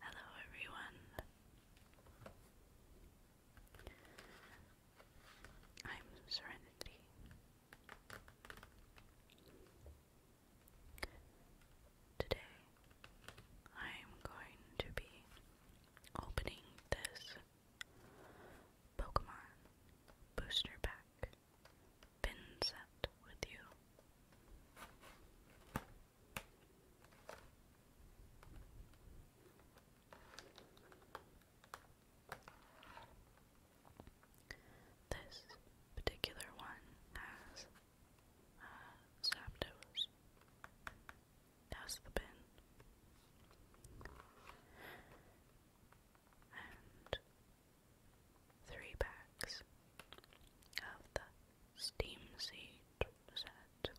Hello, everyone. I'm Serenity. Today, I'm going to be opening this Pokemon booster pack pin set with you. This particular one has uh, That's the pin and three bags of the steam seed set.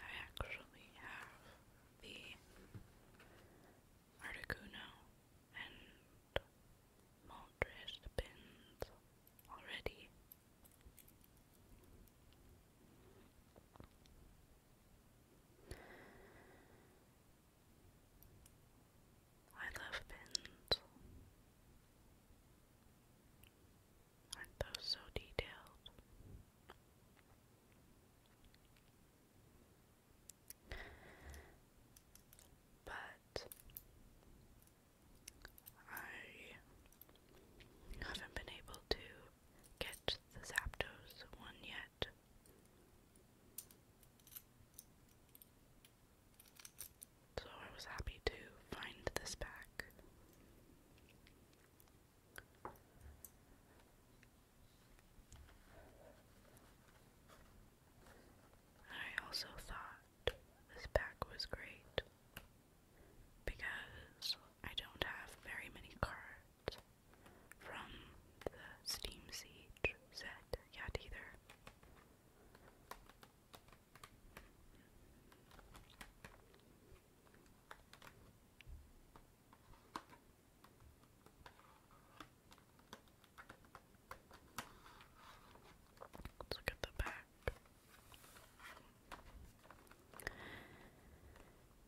I actually have the Articuno and Moltres pins already. I love pins. Aren't those so detailed? But I haven't been able to get the Zapdos one yet. So I was happy to find this pack. I also thought this pack was great because I don't have very many cards from the Steam Siege set yet either. Let's look at the back.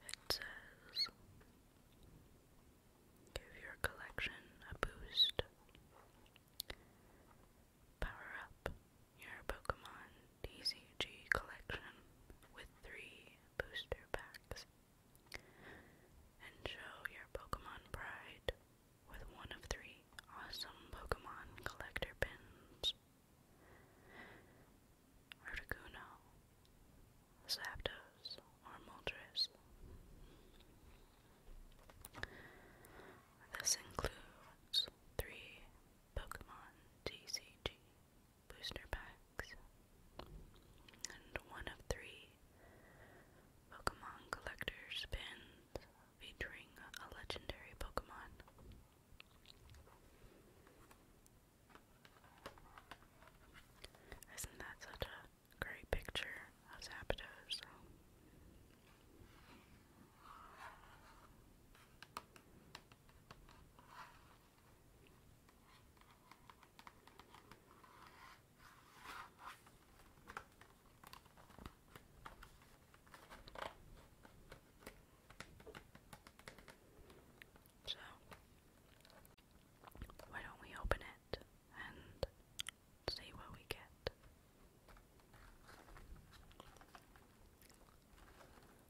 It says Give your collection a boost. Power up your Pokemon DCG collection with three booster packs. And show your Pokemon pride with one of three awesome Pokemon collector pins. Articuno, Zapdos, or Moltres. This includes three Pokemon TCG booster packs, and one of three Pokemon Collector's Pins featuring a legendary Pokemon. Isn't that such a great picture of Zapdos? So, why don't we open it and see what we get?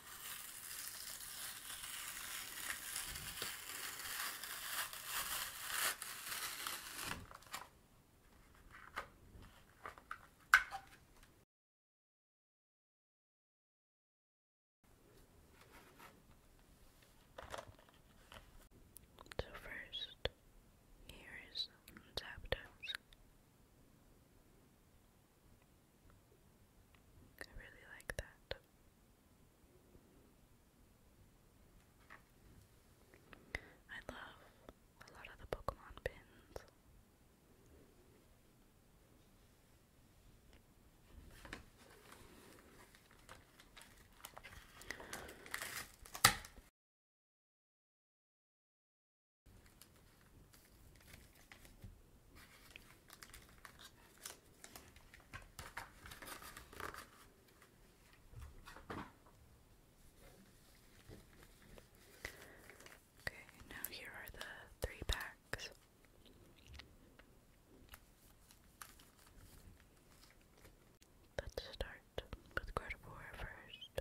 So first, here is Zapdos. I really like that. I love a lot of the Pokemon pins. Okay, now here are the three packs. Let's start with Gardevoir first.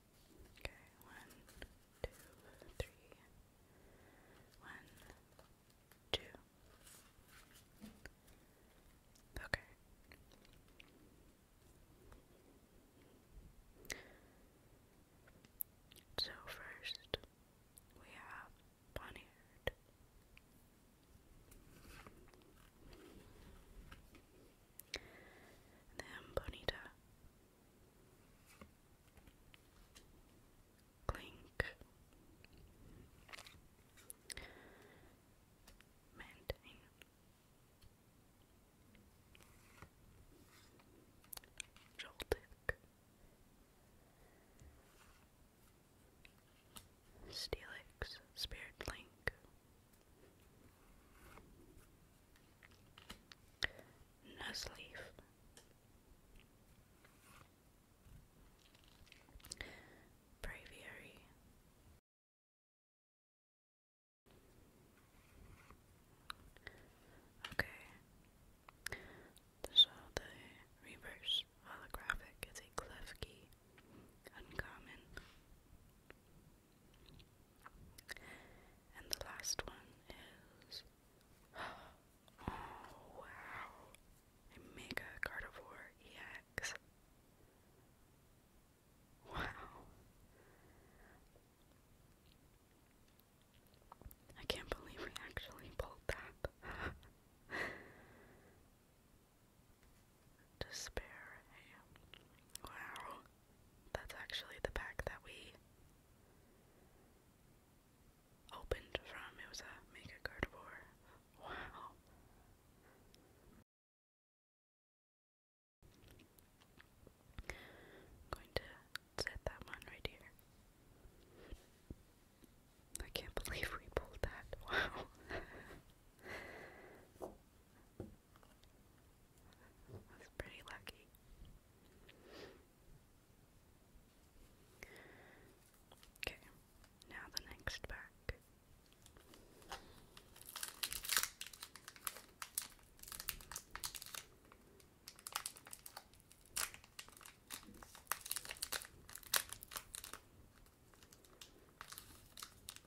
Okay, one, two, three. One, two. Okay. So first we have Bonnyard. Then Bonita. Clink. Maintain. Joltic. Steelix. Spirit Link no sleeve. Braviary. Okay. So the reverse holographic is a clef key. Uncommon. And the last one is oh wow, mega carnivore EX. Wow. I can't believe we actually pulled that. Despair. Wow. That's actually the pack that we opened from. It was a Mega Gardevoir. Wow. going to set that one right here. I can't believe we pulled that. Wow. That's pretty lucky. Okay, now the next pack. Okay,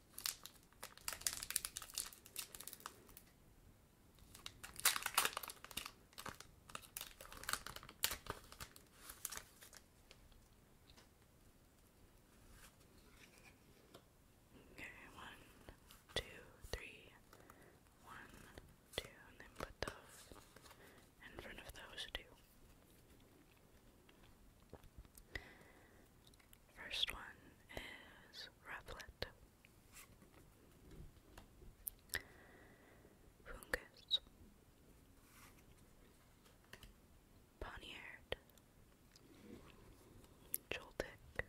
one, two, three, one, two, and then put those in front of those two. First one is Rufflet. Fungus. Poniard. Joltik.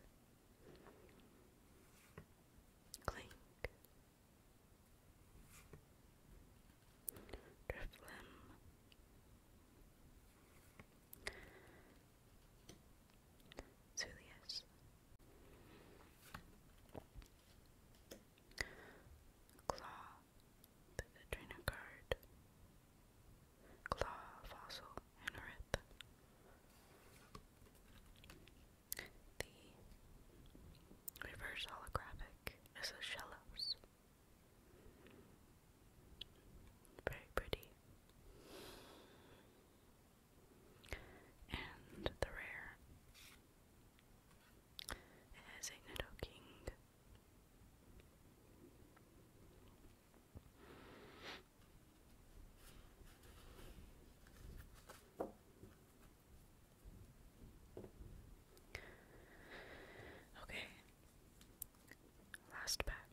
Clink. Driftlim. Zulius. Claw, the trainer card. Claw, fossil, and The reverse holographic is a very pretty. And the rare. It has a Nido Okay. Last pack.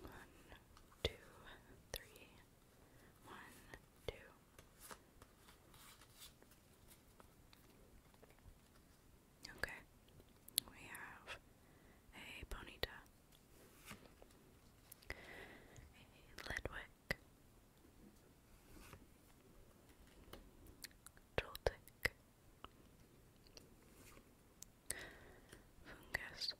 One, two, three, one, two. Okay, we have a Bonita, a Ledwick, Joltik, Fungus.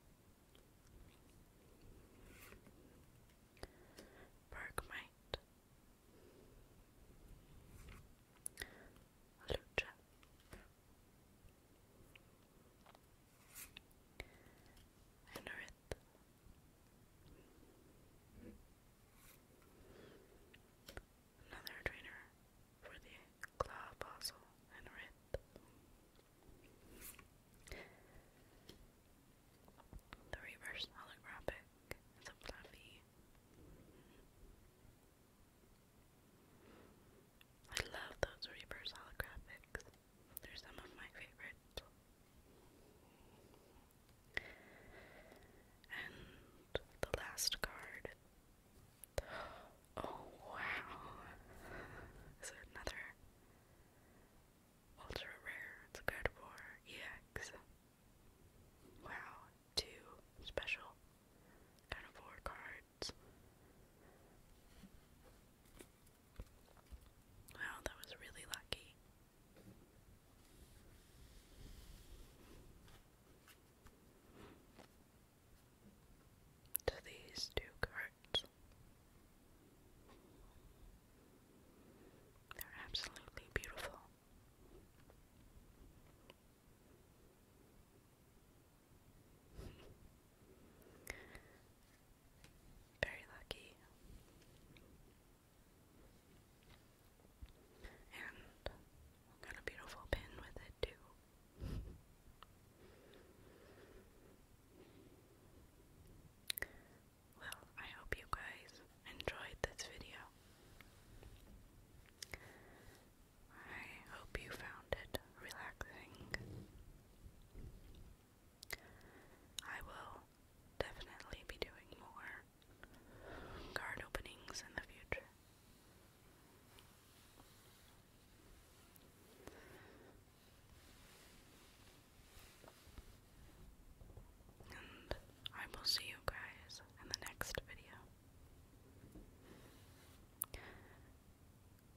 Bergmite. Lucha. Anorith another trainer for the Claw Apostle and Red. The reverse holographic is a fluffy. I love those reverse holographics. They're some of my favorites. And the last card Oh wow. Is there another ultra rare? It's a good EX. Wow, two special kind of four cards. Wow, that was really lucky to these two cards. They're absolutely beautiful. Very lucky. And got a beautiful pin with it too. well, I hope you guys enjoyed this video. I hope you found it relaxing. I will definitely be doing more card openings in the future. And I will see you guys in the next video.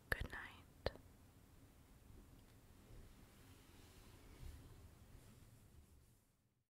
Good night.